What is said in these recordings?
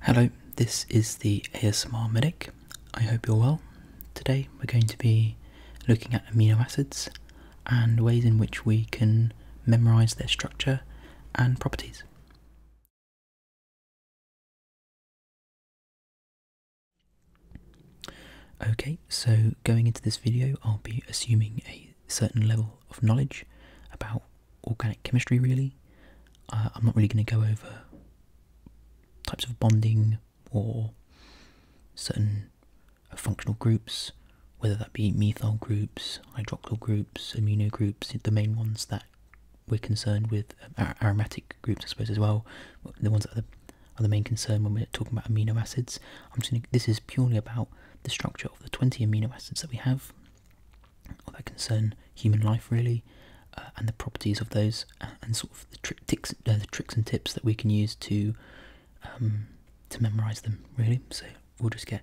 Hello, this is the ASMR Medic. I hope you're well. Today we're going to be looking at amino acids and ways in which we can memorize their structure and properties. Okay, so going into this video, I'll be assuming a certain level of knowledge about organic chemistry really. Uh, I'm not really going to go over types of bonding or certain functional groups, whether that be methyl groups, hydroxyl groups, amino groups, the main ones that we're concerned with, um, aromatic groups I suppose as well, the ones that are the, main concern when we're talking about amino acids. this is purely about the structure of the 20 amino acids that we have that concern human life really, uh, and the properties of those, uh, and sort of the, tri uh, the tricks and tips that we can use to um, to memorize them really. So we'll just get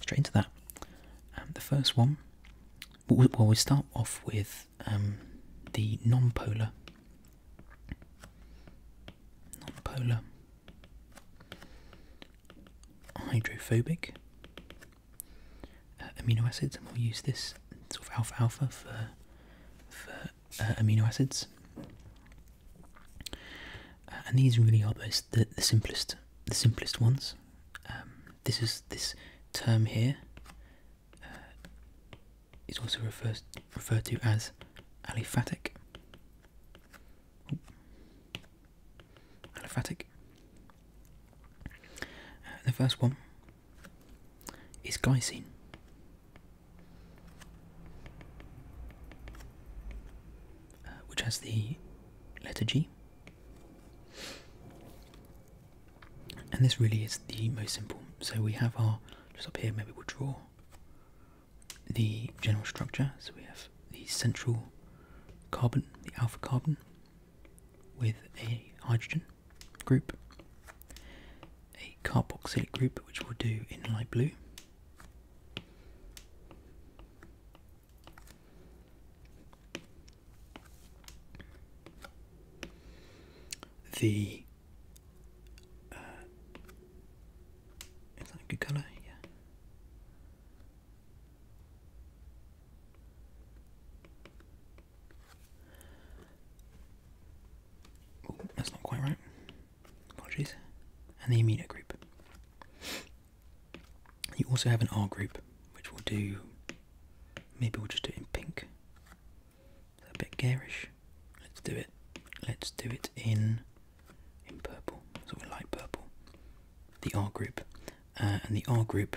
straight into that. Um, the first one, well, we start off with um, the non-polar, non-polar hydrophobic uh, amino acids, and we'll use this sort of alpha alpha for for uh, amino acids. Uh, and these really are the, the simplest the simplest ones. Um, this is this term here uh, also refers referred to as aliphatic. Aliphatic. Uh, the first one is glycine. Uh, which has the letter G, and this really is the most simple. So we have our just up here. Maybe we'll draw the general structure. So we have the central carbon, the alpha carbon, with a hydrogen group, a carboxylic group which we'll do in light blue, the uh, is that a good colour? Yeah that's not quite right. Apologies. And the amino group. You also have an R group, which will do. Maybe we'll just do it in pink. a bit garish. Let's do it. Let's do it in in purple, sort of light purple the R group. Uh, and the R group,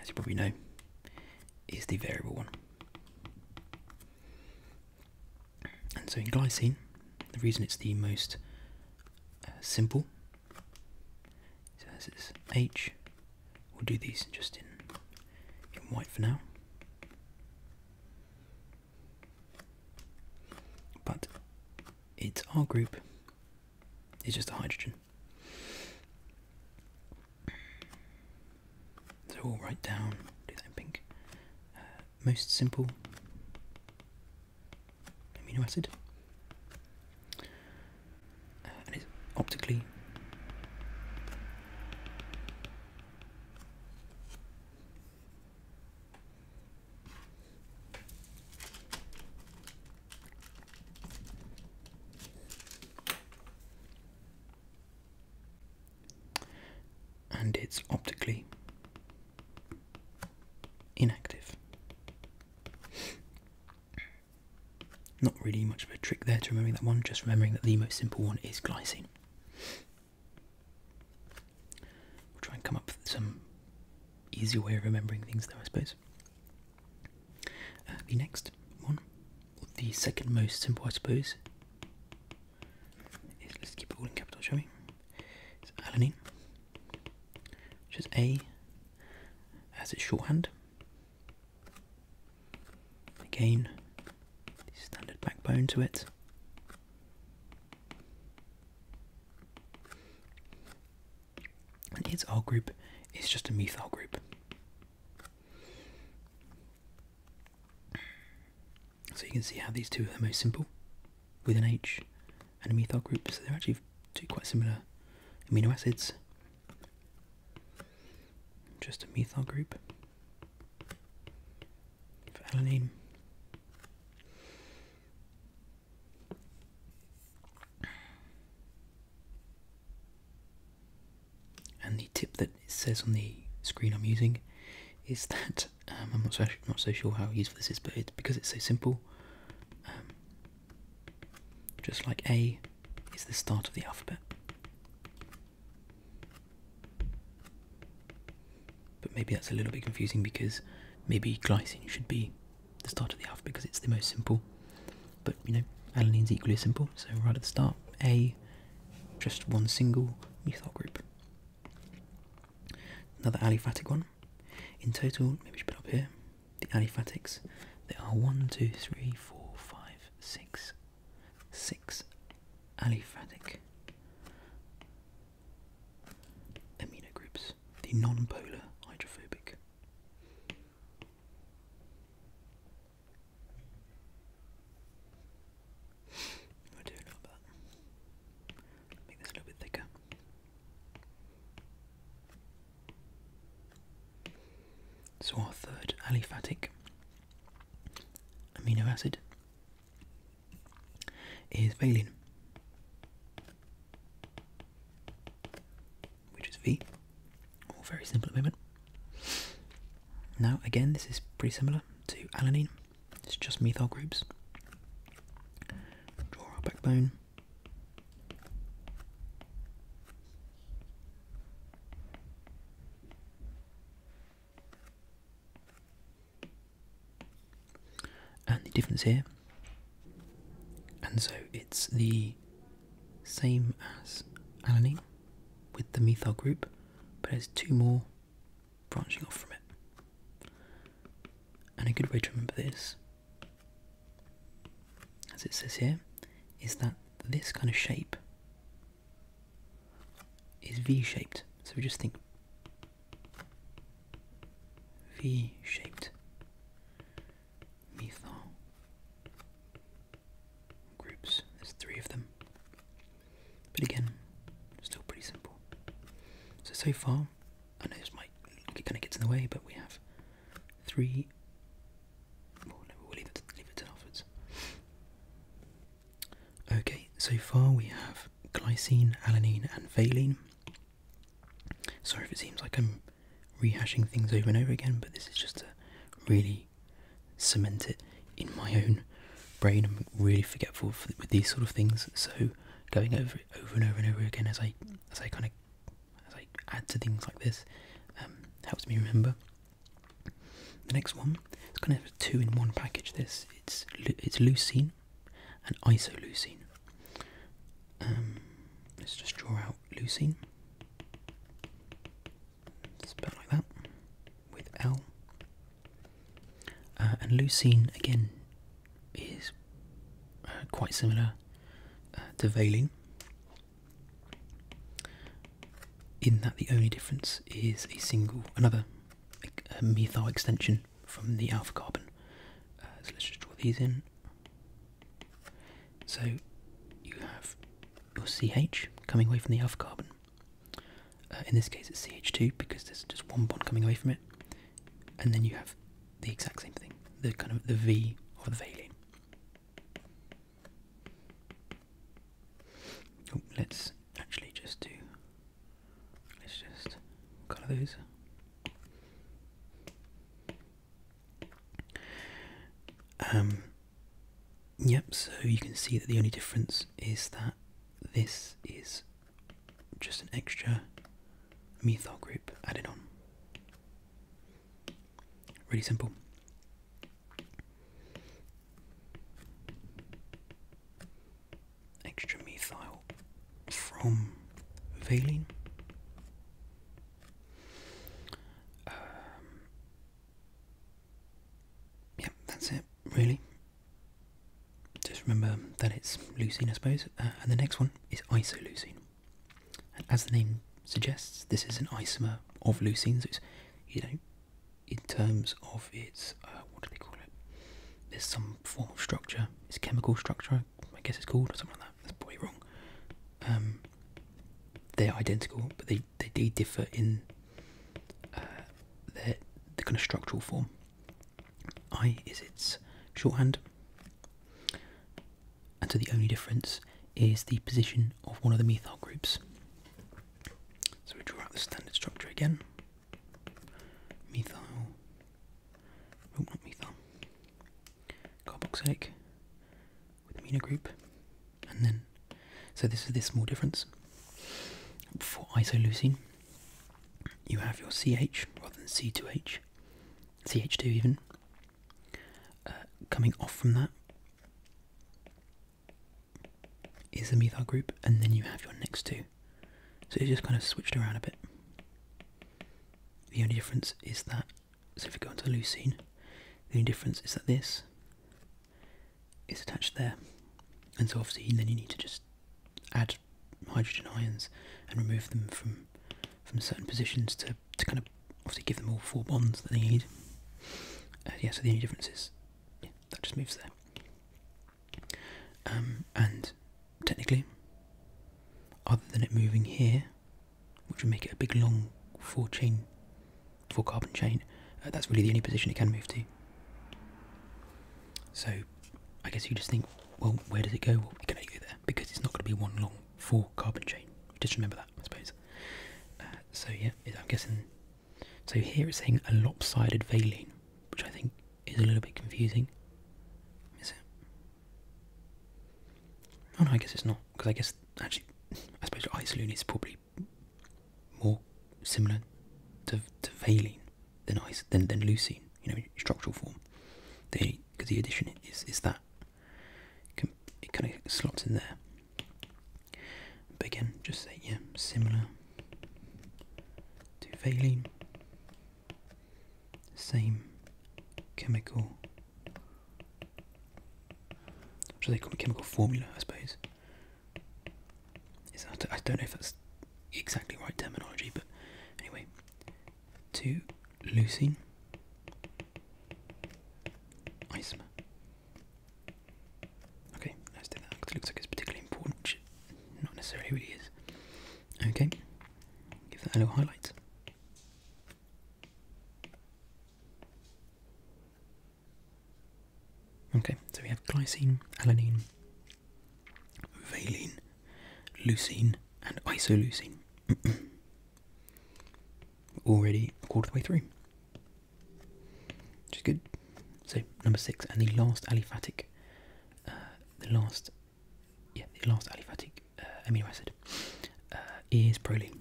as you probably know, is the variable one. And so in glycine, the reason it's the most uh, simple so this is H. We'll do these just in white for now. But it's our group it's just a hydrogen. So we'll write down, do that in pink. Uh, most simple amino acid. Uh, it's optically and it's optically inactive. Not really much of a trick there to remembering that one, just remembering that the most simple one is glycine. We'll try and come up with some easier way of remembering things though, I suppose. Uh, the next one, the second most simple, I suppose, is, let's keep it all in capital, shall we? It's alanine, which is A as its shorthand. Again, standard backbone to it and its R group is just a methyl group. So you can see how these two are the most simple, with an H and a methyl group, so they're actually two quite similar amino acids. Just a methyl group for alanine. And the tip that it says on the screen I'm using is that um, I'm not so, not so sure how useful this is, but it's because it's so simple. Um, just like A is the start of the alphabet, but maybe that's a little bit confusing because maybe glycine should be the start of the alphabet because it's the most simple. But you know, alanine is equally simple. So right at the start, A, just one single methyl group. Another aliphatic one. In total, maybe we should put up here the aliphatics. There are one, two, three, four, five, six, six aliphatic amino groups, the non-polar hydrophobic. I'll do a little bit. thicker. So our third aliphatic amino acid is valine which is V. All very simple at the moment. Now, again, this is pretty similar to alanine. It's just methyl groups. Draw our backbone and the difference here and so it's the same as alanine with the methyl group but there's two more branching off from it and a good way to remember this as it says here is that this kind of shape is v-shaped so we just think v-shaped methyl groups. There's three of them. But again, still pretty simple. So, so far, I know this might kind of gets in the way, but we have three. Well, leave it, leave it till afterwards. Okay, so far we have glycine, alanine, and valine. Sorry if it seems like I'm rehashing things over and over again, but this is just to really cement it in my own brain. I'm really forgetful with these sort of things, so going over it over and over and over again as I as I kind of as I add to things like this um, helps me remember. The next one, it's kind of two in one package. This it's it's leucine and isoleucine. Um, let's just draw out leucine. Spell like that with L. Uh, and leucine again is uh, quite similar uh, to valine, in that the only difference is a single another methyl extension from the alpha carbon. so let's just draw these in. So you have your CH coming away from the alpha carbon. Uh, in this case, it's CH2 because there's just one bond coming away from it, and then you have the exact same thing, the kind of the V of the valine. Oh, let's actually just do. Let's just colour those. Um, yep, so you can see that the only difference is that this is just an extra methyl group added on. Really simple. Extra methyl from valine um, that's it, really. Just remember that it's leucine, I suppose, uh, and the next one is isoleucine. And as the name suggests, this is an isomer of leucine, so it's, you know, in terms of its, uh, what do they call it? There's some form of structure, its chemical structure, I guess it's called, or something like that. That's probably wrong. Um, they're identical, but they they, differ in uh, their the kind of structural form. I is its shorthand, and so the only difference is the position of one of the methyl groups. So we draw out the standard structure again. Methyl, oh, not methyl carboxylic with amino group, and then so this is this small difference. For isoleucine, you have your CH rather than C2H, CH2 even, uh, coming off from that is the methyl group, and then you have your next two. So it's just kind of switched around a bit. The only difference is that so if you go onto the leucine, the only difference is that this is attached there. And so obviously then you need to just add hydrogen ions and remove them from from certain positions to, to kind of obviously give them all four bonds that they need. Uh, yeah, so the only difference is that just moves there. Um, and technically, other than it moving here, which would make it a big long four chain, four carbon chain. Uh, that's really the only position it can move to. So I guess you just think, well, where does it go? Well, it go there because it's not going to be one long four carbon chain. Just remember that, I suppose. Uh, so yeah, I'm guessing. So here it's saying a lopsided valine, which I think is a little bit confusing. Is it? Oh no, I guess it's not because I guess actually, I suppose isoleucine is probably more similar to to valine than ice than than leucine. You know, structural form. The because the addition is is that it kind of slots in there. But again, just say yeah, similar to valine same chemical, which they call it? chemical formula, I suppose. I don't know if that's exactly right terminology, but anyway, Two leucine isomer. Okay, let's do that it looks like it's particularly important, which not necessarily really is. Okay, give that a little highlight. Okay, so we have glycine, alanine, valine, leucine, and isoleucine. Already a quarter of the way through, which is good. So number six, and the last aliphatic, uh, the last yeah, the last aliphatic uh, amino acid uh, is proline.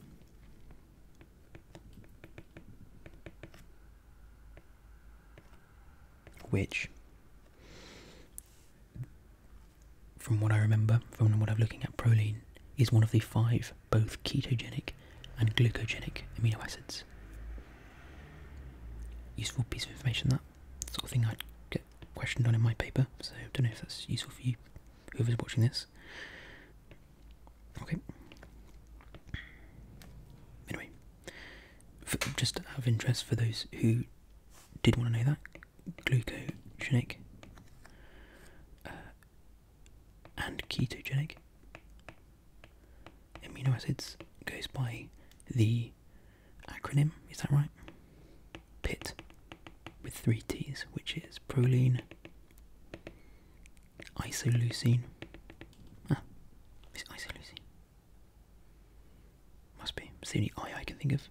Which, from what I remember, from what i have looking at, proline is one of the five both ketogenic and glucogenic amino acids. Useful piece of information that sort of thing I'd get questioned on in my paper, so don't know if that's useful for you whoever's watching this. Okay. Anyway, just out of interest for those who did want to know that, glucogenic uh, and ketogenic amino acids goes by the acronym, is that right? pit with three T's, which is proline, isoleucine. Ah, is isoleucine? Must be. It's the only I I can think of.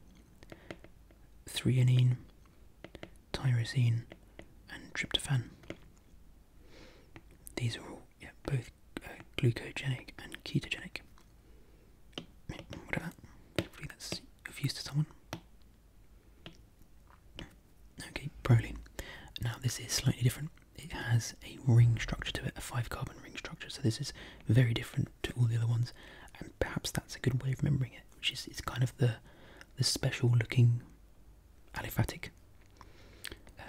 Threonine, tyrosine, and tryptophan. These are all yeah, both uh, glucogenic and ketogenic. Whatever. Hopefully that's of use to someone. Okay, proline. Now this is slightly different. It has a ring structure to it, a five carbon ring structure. So this is very different to all the other ones, and perhaps that's a good way of remembering it, which is it's kind of the the special looking aliphatic uh,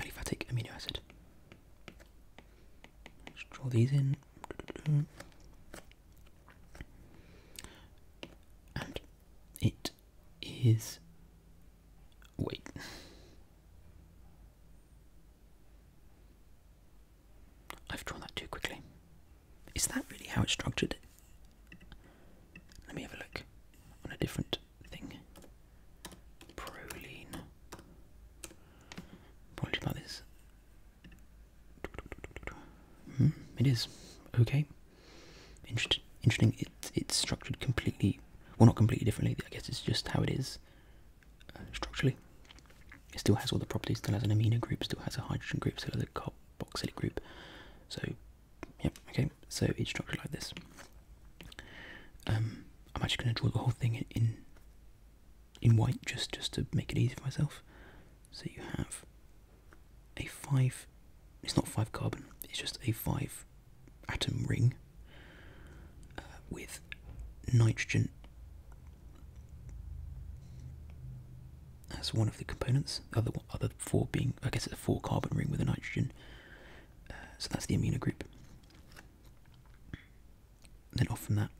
aliphatic amino acid. Let's draw these in. And it is. Wait. I've drawn that too quickly. Is that really how it's structured? Let me have a look on a different thing. Proline. Apologies about this. Hmm, it is okay. Inter interesting. It, it's structured completely, well, not completely differently. I guess it's just how it is uh, structurally. It still has all the properties. Still has an amino group. Still has a hydrogen group. Still has a carboxylic group. So, yep, okay. So it's structured like this. Um, I'm actually going to draw the whole thing in in white just just to make it easy for myself. So you have a five it's not five carbon it's just a five atom ring uh, with nitrogen as one of the components other other four being i guess it's a four carbon ring with a nitrogen uh, so that's the amino group then off from that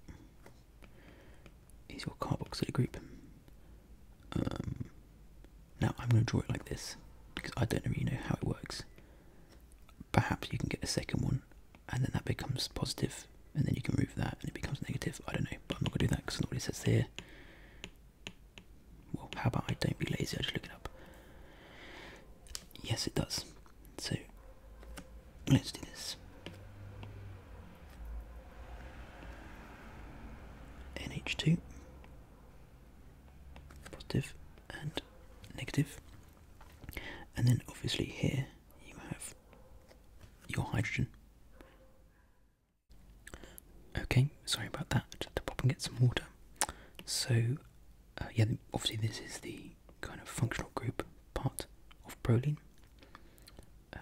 is your carboxylic group. Um, now I'm going to draw it like this because I don't really know how it works. Perhaps you can get a second one and then that becomes positive and then you can move that and it becomes negative. I don't know, but I'm not going to do that because not what it says here. Well, how about I don't be lazy, I just look it up. Yes, it does. So, let's do this. NH2, positive and And then obviously here you have your hydrogen. Okay, sorry about that. I to pop and get some water. So, uh, yeah, obviously this is the kind of functional group part of proline. Uh,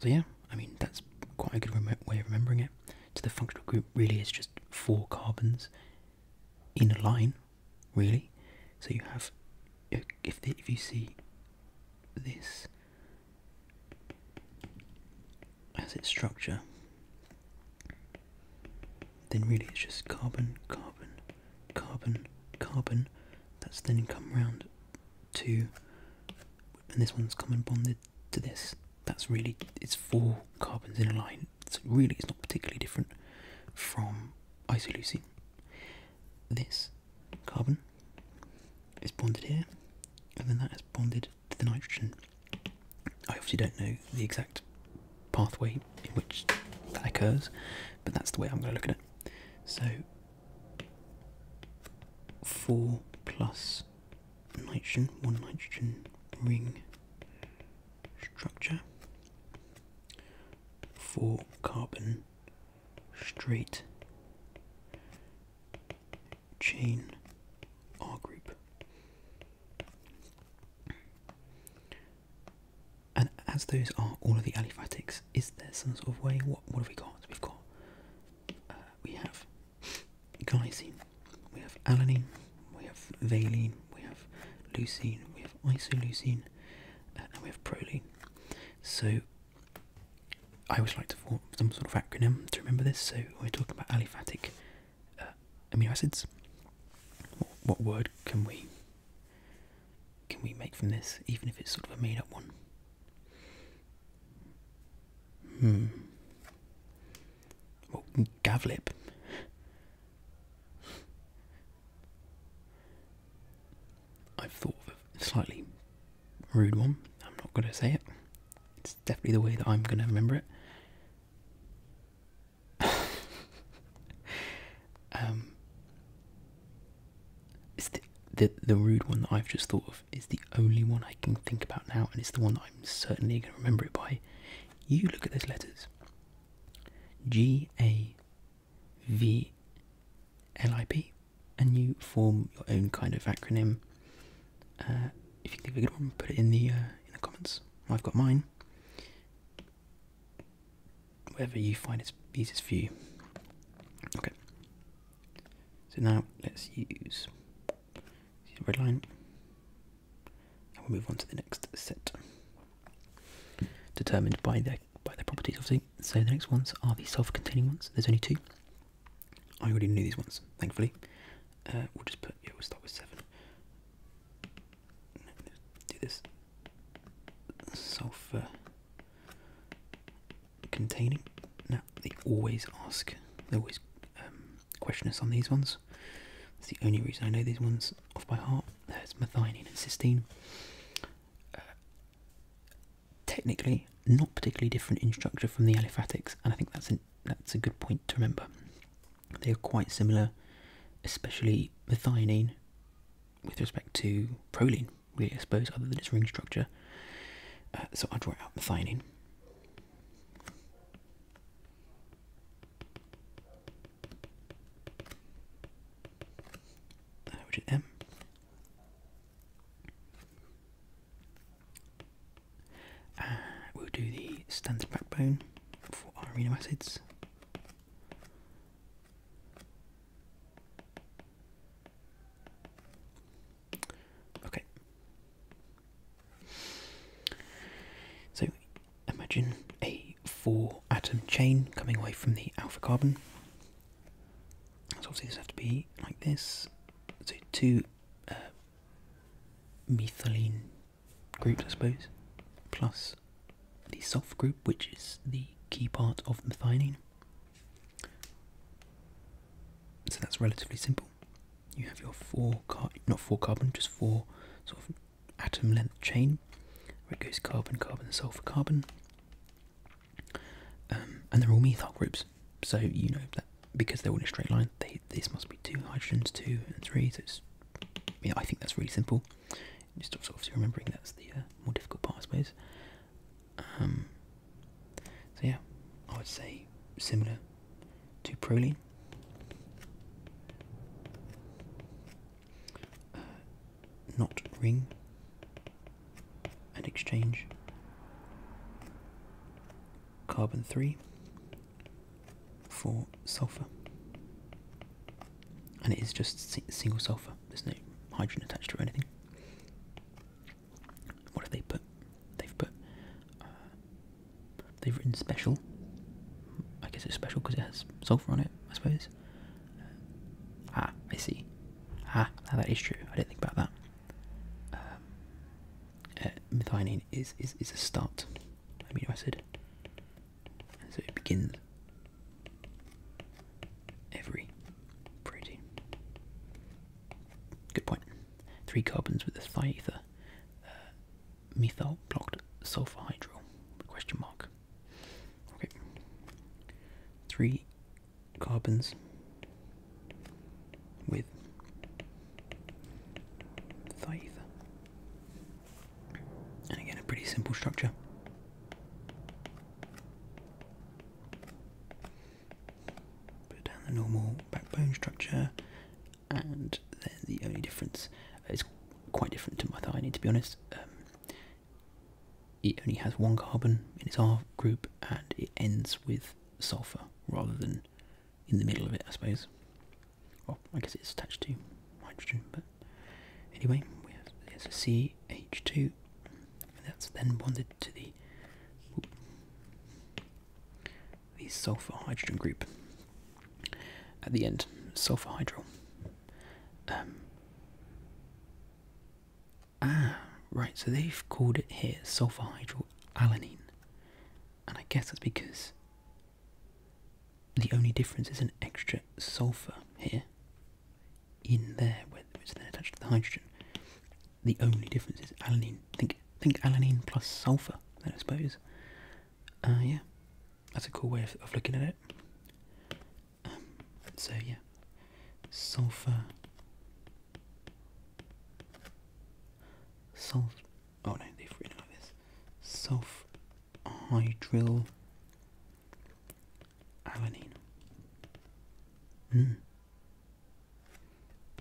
so yeah, I mean that's quite a good way of remembering it. So the functional group really is just four carbons in a line, really. So you have, if if you see this as its structure, then really it's just carbon, carbon, carbon, carbon. That's then come round two, and this one's common bonded to this. That's really, it's four carbons in a line. So really, it's not particularly different from isoleucine. This carbon is bonded here, and then that is bonded to the nitrogen. I obviously don't know the exact pathway in which that occurs, but that's the way I'm going to look at it. So four plus nitrogen, one nitrogen ring structure, four carbon straight chain R group. And as those are all of the aliphatics, is there some sort of way? What what have we got? We've got uh, we have glycine, we have alanine, we have valine, we have leucine, we have isoleucine, uh, and we have proline. So I always like to form some sort of acronym to remember this. So we're talking about aliphatic uh, amino acids. What, what word can we can we make from this, even if it's sort of a made-up one? Hmm. Well, Gavlip. I've thought of a slightly rude one. I'm not going to say it. It's definitely the way that I'm going to remember it. um, it's the, the the rude one that I've just thought of is the only one I can think about now, and it's the one I'm certainly going to remember it by. You look at those letters G A V L I P, and you form your own kind of acronym. Uh, if you think of a good one, put it in the uh, in the comments. I've got mine. Whatever you find is easiest for you. Okay. So now let's use the red line and we'll move on to the next set. Determined by the by their properties obviously. So the next ones are the self-containing ones. There's only two. I already knew these ones, thankfully. Uh, we'll just put yeah, we'll start with seven. Do this sulfur uh, containing. Now, they always ask, they always um, question us on these ones. It's the only reason I know these ones off by heart. There's methionine and cysteine. Uh, technically, not particularly different in structure from the aliphatics, and I think that's, that's a good point to remember. They are quite similar, especially methionine with respect to proline really, I suppose, other than its ring structure. Uh, so I'll draw out methionine. Uh, which is M. Uh, we'll do the standard backbone for our amino acids. Okay. So imagine a four atom chain coming away from the alpha carbon. So obviously this has to be like this. So two uh, methylene groups, I suppose, plus the sulf group, which is the key part of methionine. So that's relatively simple. You have your four car not four carbon, just four sort of atom length chain where it goes carbon, carbon, sulfur, carbon. Um, and they're all methyl groups. So you know that because they're all in a straight line, this must be two hydrogens, two and three. So I think that's really simple. Just obviously remembering that's the uh, more difficult part, I suppose. Um, so yeah, I would say similar to proline. Uh, not ring and exchange. Carbon 3 for sulfur. And it is just single sulfur, there's no hydrogen attached to anything. What have they put? They've put. Uh, they've written special. I guess it's special because it has sulfur on it. I suppose. Uh, ah, I see. Ah, that is true. I didn't think about that. Um, uh, methionine is, is is a start amino acid, so it begins every protein. Good point. Three carbons with a phi ether. Uh, methyl blocked sulfur hydro. Question mark. Okay. Three carbons with phi And again, a pretty simple structure. Put down the normal backbone structure, and then the only difference uh, is quite different to my thione to be honest. Um, it only has one carbon in its R group, and it ends with sulfur rather than in the middle of it, I suppose. Well, I guess it's attached to hydrogen, but anyway, we have, there's a CH2 that's then bonded to the the sulfur hydrogen group at the end sulfur hydro. Um, ah right so they've called it here sulfur hydryl alanine and I guess that's because the only difference is an extra sulfur here in there which is then attached to the hydrogen the only difference is alanine. Think think alanine plus sulfur. Then I suppose. Uh, yeah, that's a cool way of, looking at it. Um, so yeah, sulfur. Sulf. Oh no, they are written like this. Sulfhydryl alanine. Mm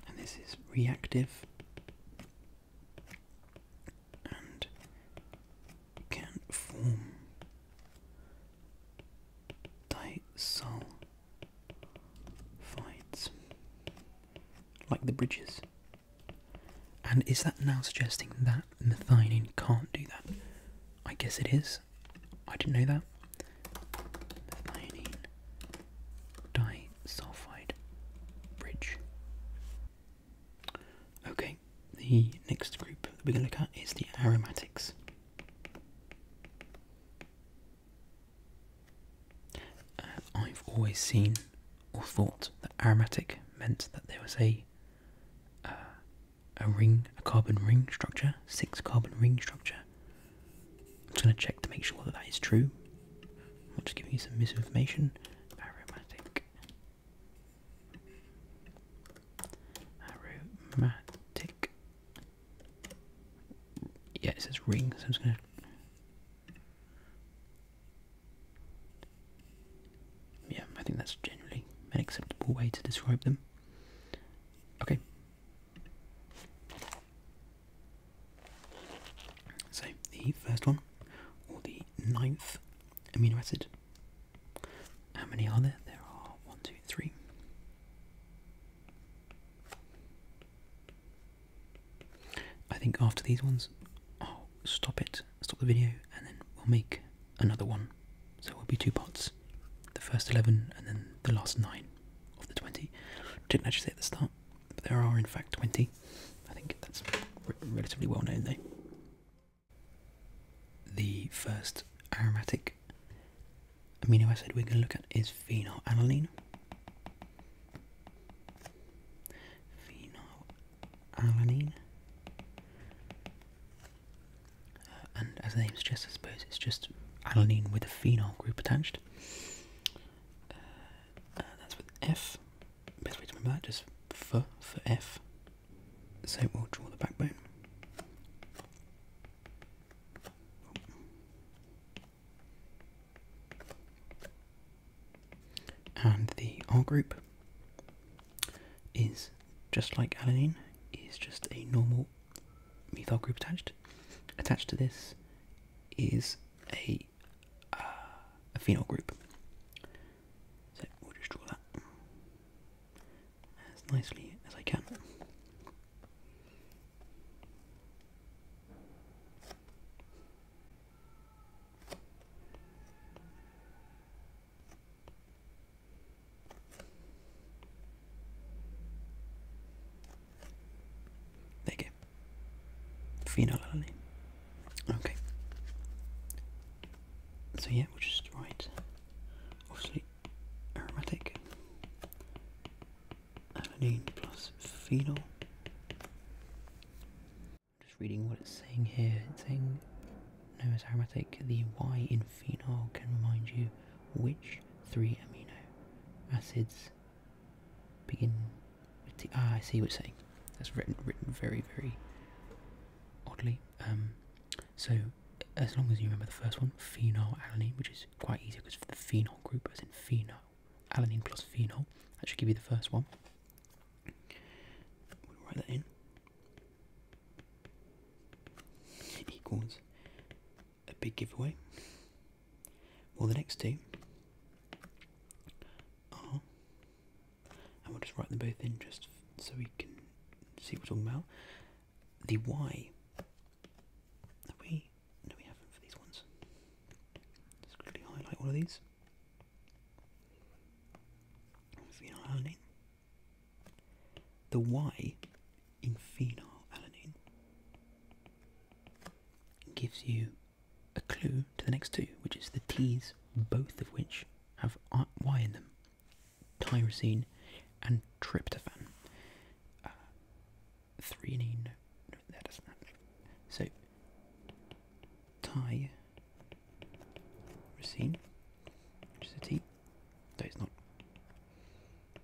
and this is reactive and can form disulfides like the bridges. And is that now suggesting that methionine can't do that? I guess it is. I didn't know that methionine disulfide bridge. Okay, the next group that we're going to look at is the aromatics. Uh, I've always seen or thought that aromatic meant that there was a uh, a ring, a carbon ring structure, six carbon ring structure, I'm just going to check to make sure that that is true. I'm not just giving you some misinformation. Aromatic. Aromatic. Yeah, it says ring, so I'm just going to. Yeah, I think that's generally an acceptable way to describe them. Okay. So the first one, or the ninth amino acid. How many are there? There are one, two, three. I think after these ones, oh, stop it, stop the video, and then we'll make another one. So it will be two parts the first 11 and then the last nine of the 20. Didn't actually say at the start, but there are in fact 20. I think that's relatively well known though. The first aromatic amino acid we're going to look at is phenylalanine. Phenylalanine. Uh, and as the name suggests, I suppose it's just alanine with a phenol group attached. Uh, uh, that's with F. Best way to remember that, just F for F. So we'll draw the backbone. And the R group is just like alanine, is just a normal methyl group attached. Attached to this is a, uh, phenol group. So we'll just draw that as nicely as I can de qué phenol alanine okay so yeah which is right? obviously aromatic alanine plus phenol just reading what it's saying here saying known as aromatic the y in phenol can remind you which three amino acids Begin with the. Ah, I see what you're saying. That's written written very very oddly. Um, so as long as you remember the first one, phenylalanine, which is quite easy because the phenol group, as in phenol, alanine plus phenol, that should give you the first one. write that in. Equals a big giveaway. Well, the next two are, and we'll just write them both in just so we can see what we're talking about. The Y. Have we? No, we have for these ones. Just quickly highlight all of these. Phenylalanine. The Y in phenylalanine gives you a clue to the next two, which is the T's, both of which have Y in them tyrosine and tryptophan. Uh, no, no, that doesn't happen. So, tyrosine, which is a T, no, it's not,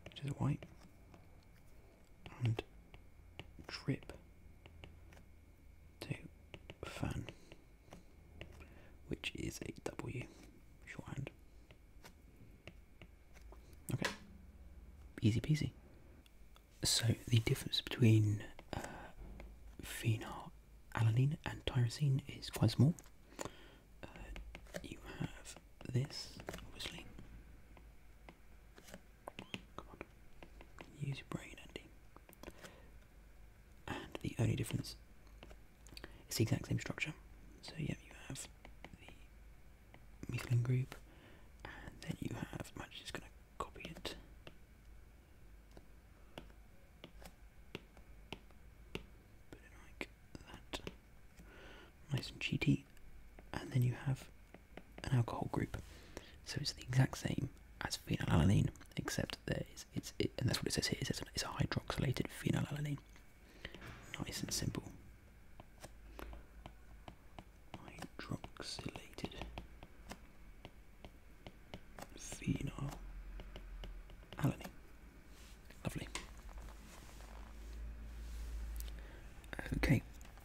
which is a Y, and drip to fan, which is a W shorthand. Okay, easy peasy. So the difference between uh, phenylalanine and tyrosine is quite small. Uh, you have this, obviously, Come on. Use your brain, Andy. And the only difference is the exact same structure. So, yeah, you have the methylene group, and then you have. I'm just going to copy it. Put it like that. Nice and cheetie and then you have an alcohol group. So it's the exact same as phenylalanine, except there is it, and that's what it says here. it's a hydroxylated phenylalanine. Nice and simple. Hydroxylated phenylalanine. Lovely. Okay,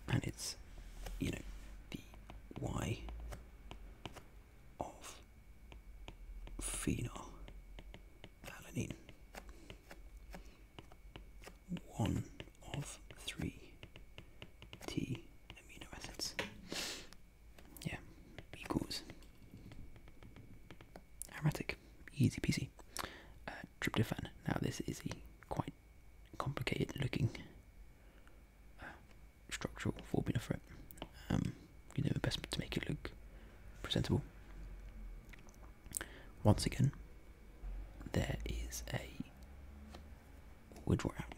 and it's you know the y of phenylalanine one of three T amino acids. Yeah, equals aromatic, easy peasy. Uh, Now this is a quite complicated looking uh, structural formula for it. Um, you know, the best to make it look presentable. Once again, there is a wood wrap.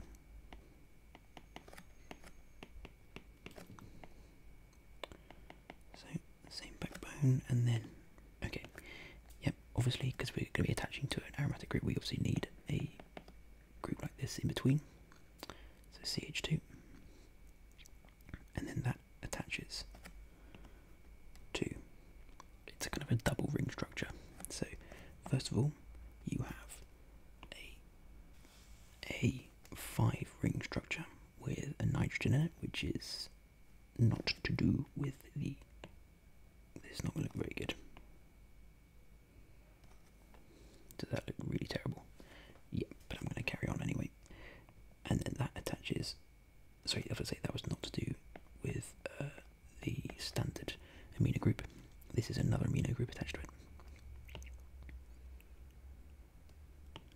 So same backbone and then okay obviously, because we're going to be attaching to an aromatic group, we obviously need a group like this in between. So CH2. And then that attaches to. It's a kind of a double ring structure. So, first of all, you have a, a five ring structure with a nitrogen in it, which is not to do with the it's not going to look very good. Does that look really terrible? yeah, but I'm going to carry on anyway. And then that attaches. Sorry, I was say that was not to do with uh, the standard amino group. This is another amino group attached to it.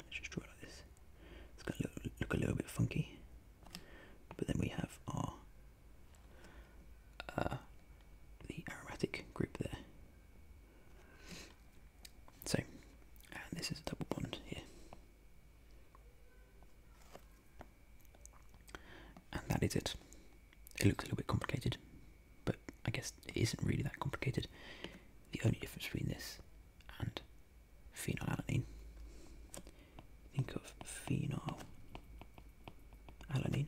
Let's just draw it like this. It's going to look a little bit funky. But then we have our uh, the aromatic group there. So, and uh, this is a double bond here. And that is it. It looks a little bit complicated, but I guess it isn't really that complicated. The only difference between this and phenylalanine think of phenylalanine,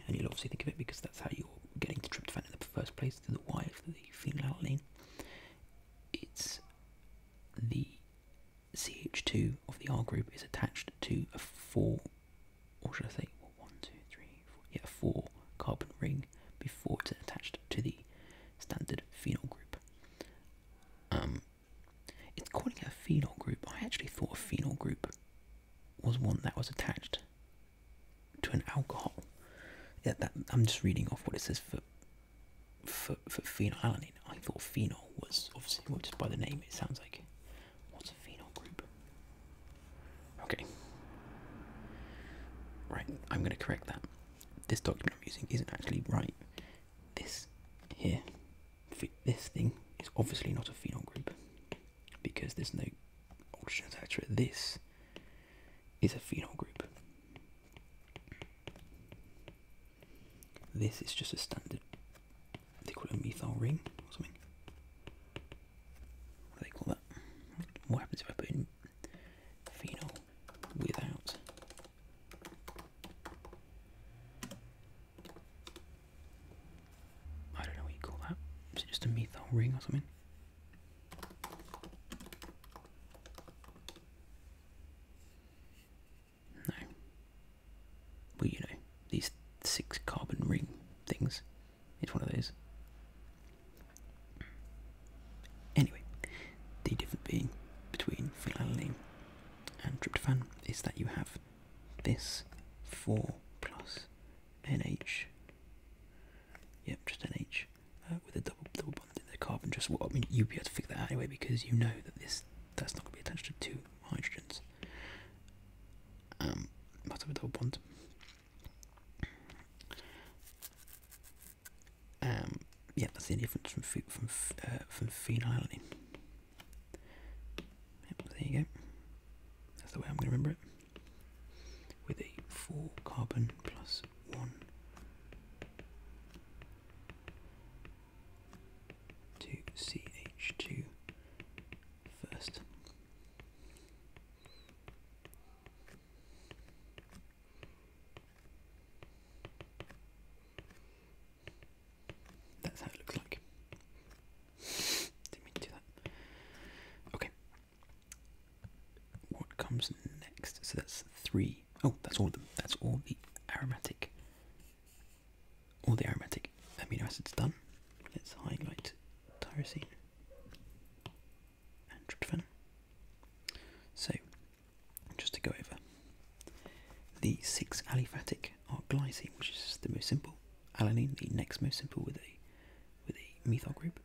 and you'll obviously think of it because that's how you're getting to tryptophan in the first place, To the Y of the phenylalanine. It's the CH2 of the R group is attached to a 4, or should I say, one, two, three, four, yeah, 4 carbon ring before it's attached to the standard phenyl group. Um, it's calling it a phenol group. I actually thought a phenol group was one that was attached to an alcohol. Yeah, I'm just reading off what it says for for, phenylalanine. I thought phenol was obviously just by the name. It sounds like what's a phenol group? Okay, right. I'm going to correct that. This document I'm using isn't actually right. This here this thing is obviously not a phenol group because there's no oxygen attached to it. This is a phenol group. This is just a standard, they call it a methyl ring or something. What do they call that? What happens if I put in phenol without I don't know what you call that. Is it just a methyl ring or something? No. Well, you know, these six carbon ring things. It's one of those. Anyway, the difference being between phenylalanine and tryptophan is that you have this 4 plus NH, yep, just NH, uh, with a double double bond in the carbon. Just well, I mean, you'd be able to figure that out anyway because you know that this that's not going to be attached to two hydrogens. Um, but have a double bond. Um, yeah, that's the difference from from uh, from phenylalanine there you go. That's the way I'm going to remember it. With a 4 carbon plus 1. 2CH2 first. That's how it looks like. Didn't mean to do that. Okay. What comes next? So that's three. Oh, that's all That's all the aromatic. All the aromatic amino acids done. Let's highlight tyrosine and tryptophan. So, just to go over the six aliphatic are glycine, which is the most simple, alanine, the next most simple with a with a methyl group,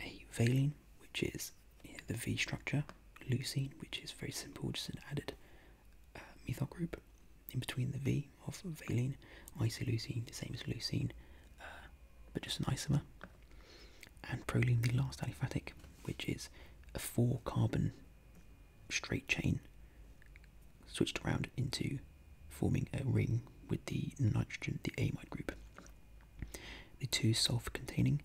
a valine, which is the V structure, leucine, which is very simple, just an added uh, methyl group in between the V of valine, isoleucine, the same as leucine, uh, but just an isomer, and proline, the last aliphatic, which is a four carbon straight chain switched around into forming a ring with the nitrogen, the amide group. The two sulfur containing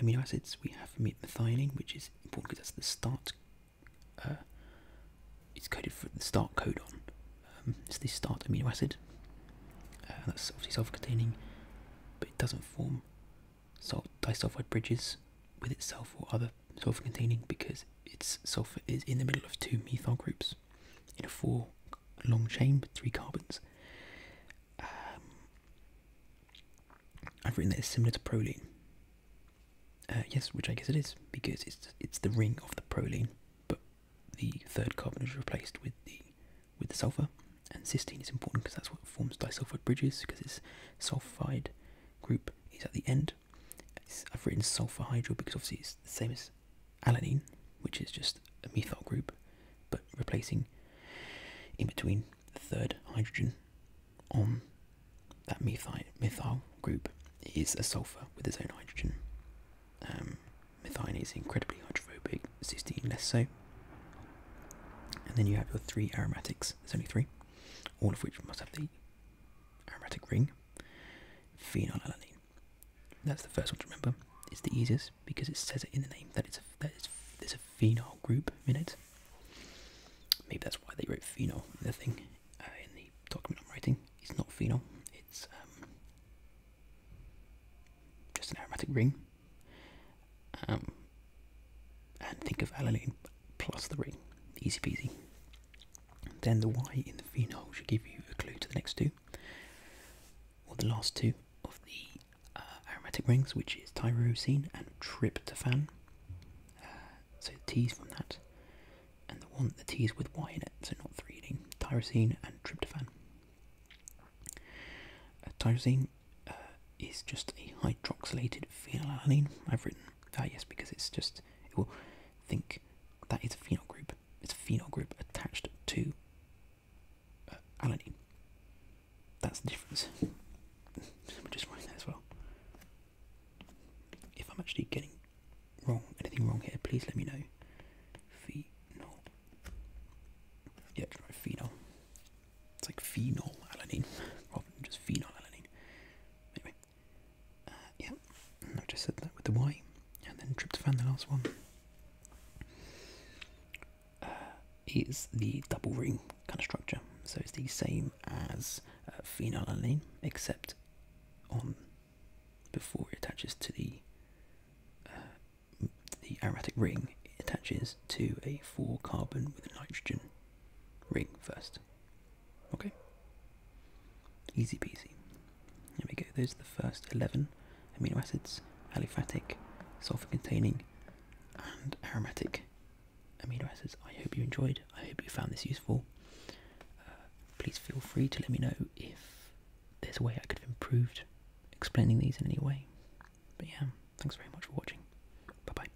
amino acids we have methionine, which is important because that's the start, uh, it's coded for the start codon. Um, it's the start amino acid. Uh, that's obviously sulfur containing, but it doesn't form disulfide bridges with itself or other sulfur containing because its sulfur is in the middle of two methyl groups in a four long chain with three carbons. Um, I've written that it's similar to proline. Uh, yes, which I guess it is because it's it's the ring of the proline, but the third carbon is replaced with the with the sulfur, and cysteine is important because that's what forms disulfide bridges because its sulfide group is at the end I've written sulfur hydro because obviously it's the same as alanine, which is just a methyl group, but replacing in between the third hydrogen on that methyl, methyl group is a sulfur with its own hydrogen. Um, methionine is incredibly hydrophobic, cysteine less so. And then you have your three aromatics, there's only three, all of which must have the aromatic ring, phenylalanine. That's the first one to remember. It's the easiest because it says it in the name that it's a, that it's, there's a phenyl group in it. Maybe that's why they wrote phenyl the thing uh, in the document I'm writing. It's not phenyl. It's um, just an aromatic ring. Um, and think of alanine plus 3. Easy peasy. Then the Y in the phenol should give you a clue to the next two, or the last two of the uh, aromatic rings, which is tyrosine and tryptophan. Uh, so the T's from that, and the one the T's with Y in it, so not threading. Tyrosine and tryptophan. Uh, tyrosine is just a hydroxylated phenylalanine. I've written Ah, yes, because it's just, it will think that it's a phenyl group. It's phenol group attached to uh, alanine. That's the difference. I'm just writing that as well. If I'm actually getting wrong, anything wrong here, please let me know. Phenol. Yeah, just phenol. It's like phenol alanine rather than just phenol alanine. Uh, yeah, I've just said that with the Y, and then try to find the last one, uh, is the double ring kind of structure. So it's the same as uh, phenylalanine, except on before it attaches to the the aromatic ring, it attaches to a four carbon with a nitrogen ring first. Okay. Easy peasy. There we go. Those are the first 11 amino acids aliphatic, sulfur containing, and aromatic amino acids. I hope you enjoyed. I hope you found this useful. Uh, please feel free to let me know if there's a way I could have improved explaining these in any way. But yeah, thanks very much for watching. Bye bye.